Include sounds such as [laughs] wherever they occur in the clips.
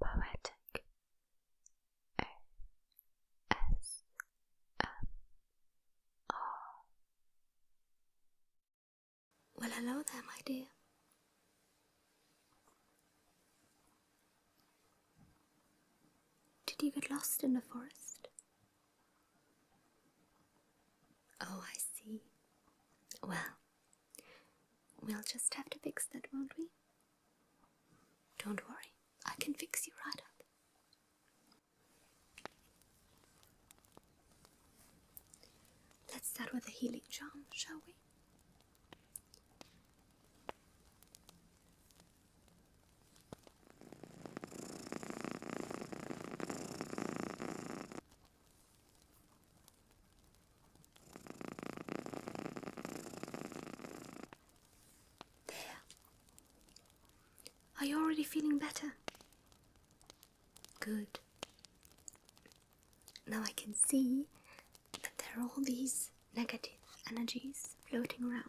Poetic O S M R Well, hello there, my dear. Did you get lost in the forest? Oh, I see. Well, We'll just have to fix that, won't we? Don't worry, I can fix you right up. Let's start with a healing charm, shall we? There. Are you already feeling better? Good. Now I can see that there are all these negative energies floating around.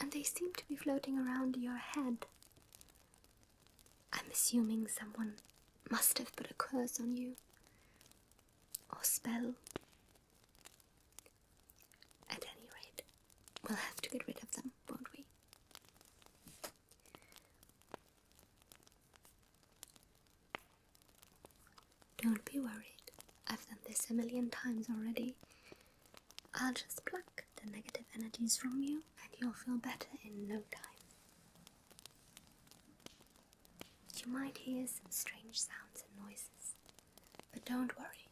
And they seem to be floating around your head. I'm assuming someone must have put a curse on you. Or spell. At any rate, we'll have to get rid of them, won't we? Don't be worried. I've done this a million times already. I'll just pluck the negative energies from you, and you'll feel better in no time. You might hear some strange sounds and noises, but don't worry.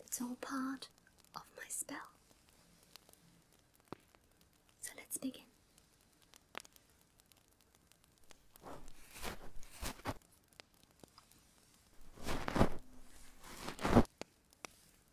It's all part of my spell. So let's begin.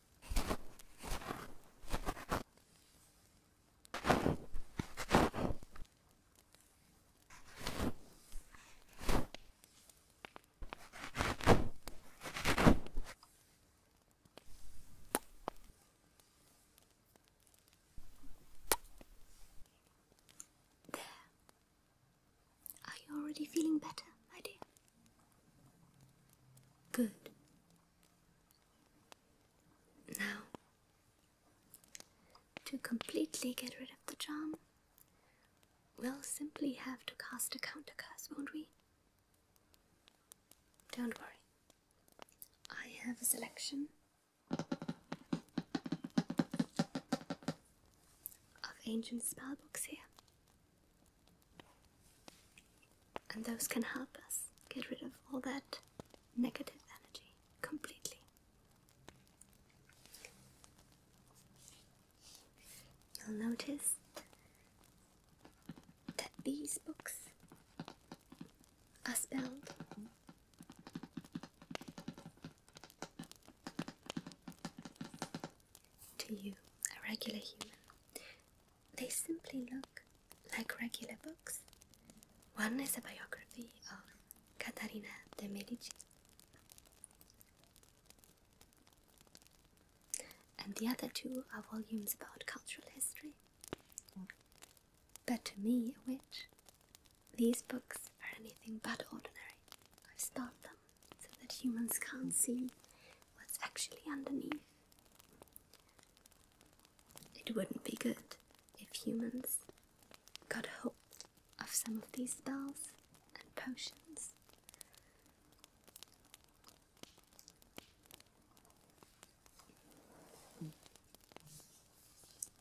There. Are you already feeling better, my dear? Good. Now, to completely get rid of the charm, we'll simply have to cast a counter curse, won't we? Don't worry, I have a selection of ancient spellbooks here. And those can help us get rid of all that negative energy completely. You'll notice that these books are spelled to you, a regular human. They simply look like regular books. One is a biography of Catarina de' Medici, and the other two are volumes about cultural history. But to me, a witch, these books are anything but ordinary. I've starred them so that humans can't see what's actually underneath. It wouldn't be good if humans got hold of some of these spells and potions.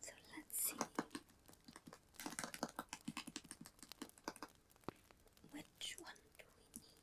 So let's see which one do we need?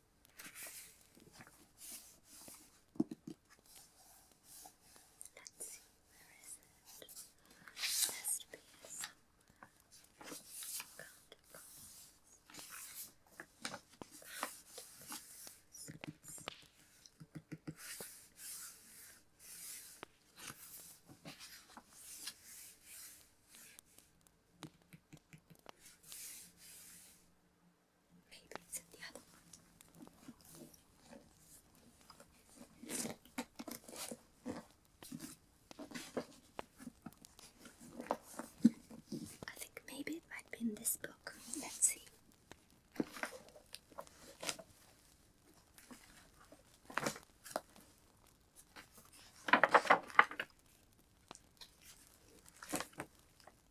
Let's see, where is it? Test piece. Let's Maybe I think maybe it might be in this book. Let's see.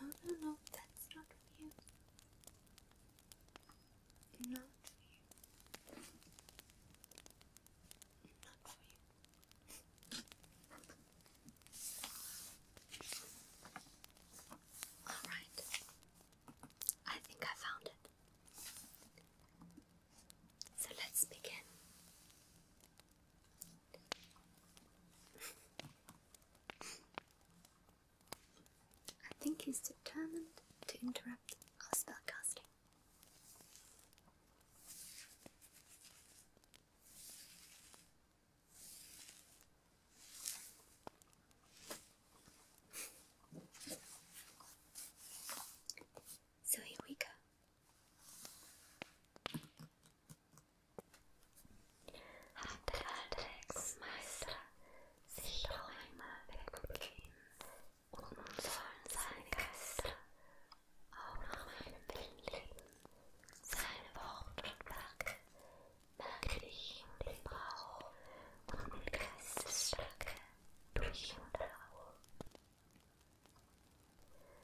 No, no, no, that's not for you. Not for you. Not for you. Alright. I think I found it. So let's begin. [laughs] I think he's determined to interrupt our spellcasting. So here we go. Hat der alte Hexenmeister sich Räume weggegeben und nun sollen seine Geister auch nach meinem Willen leben. Seine Worte und Werke merke ich und den Brauch und mit Geistesstärke durch und herauf.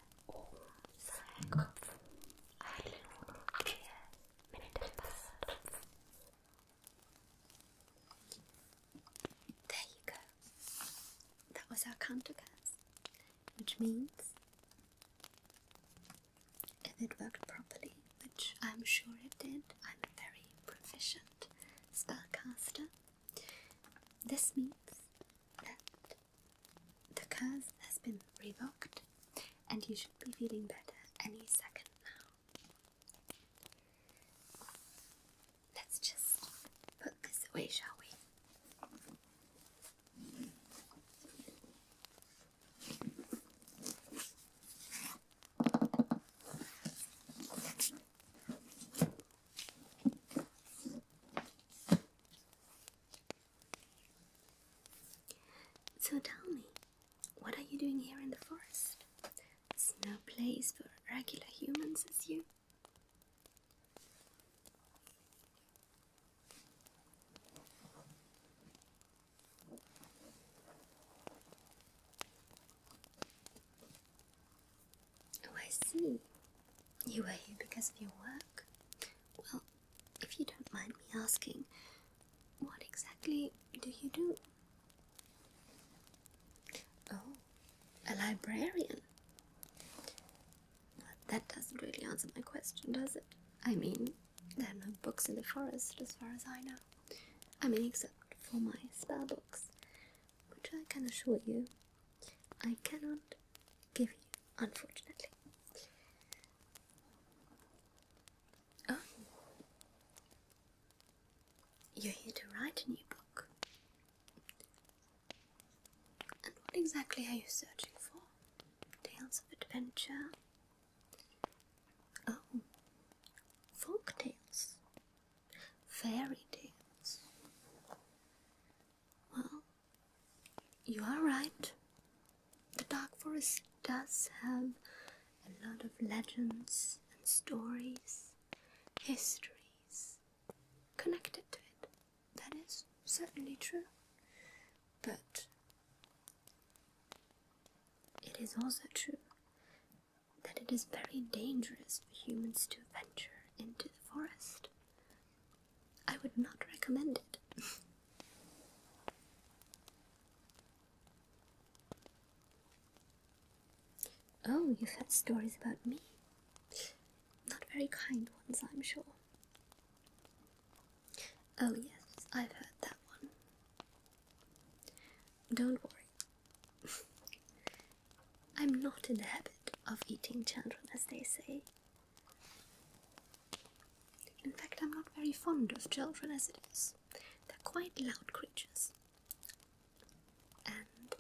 There you go. That was our counter which means if it worked properly, which I'm sure it did, I'm a very proficient spellcaster. This means that the curse has been revoked, and you should be feeling better any second now. Let's just put this away, shall we? So tell me, what are you doing here in the forest? It's no place for regular humans as you. Oh, I see. You are here because of your work? Well, if you don't mind me asking, what exactly do you do? Oh, a librarian. that doesn't really answer my question, does it? I mean, there are no books in the forest as far as I know. I mean, except for my spell books, which I can assure you I cannot give you unfortunately. Oh. you're here to write a new book. And what exactly are you searching for? Tales of adventure? Oh, folk tales, fairy tales. Well, you are right. The Dark Forest does have a lot of legends and stories, histories connected to it. That is certainly true. But it is also true that it is very dangerous for humans to venture into the forest. I would not recommend it. [laughs] oh, you've had stories about me. Not very kind ones, I'm sure. Oh, yes, I've heard that one. Don't worry. [laughs] I'm not in the habit of eating children, as they say. In fact, I'm not very fond of children as it is. They're quite loud creatures. And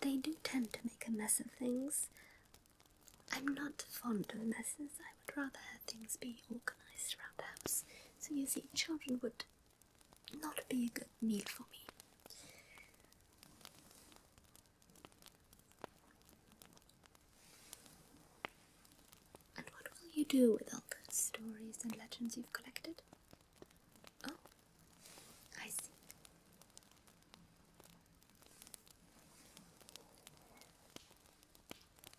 they do tend to make a mess of things. I'm not fond of messes. I would rather have things be organized around the house. So you see, children would not be a good meal for me. And what will you do with all the stories and legends you've collected? Oh, I see.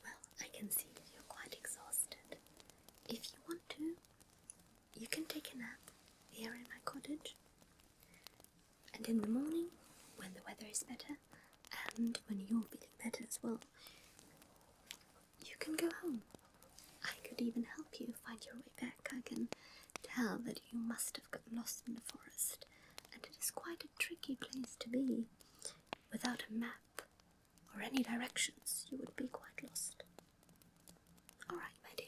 Well, I can see you're quite exhausted. If you want to, you can take a nap here in my cottage. And in the morning, when the weather is better, and when you're feeling better as well, you can go home. I could even help you find your way back. I can tell that you must have got lost in the forest, and it is quite a tricky place to be. Without a map or any directions, you would be quite lost. All right, my dear.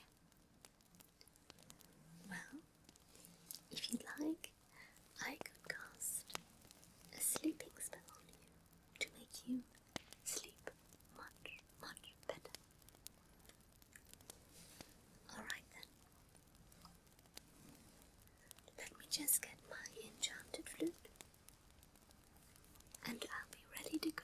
Well, if you like, I could cast a sleeping spell on you to make you sleep much, much better. Alright then. Let me just get my enchanted flute and I'll be ready to go.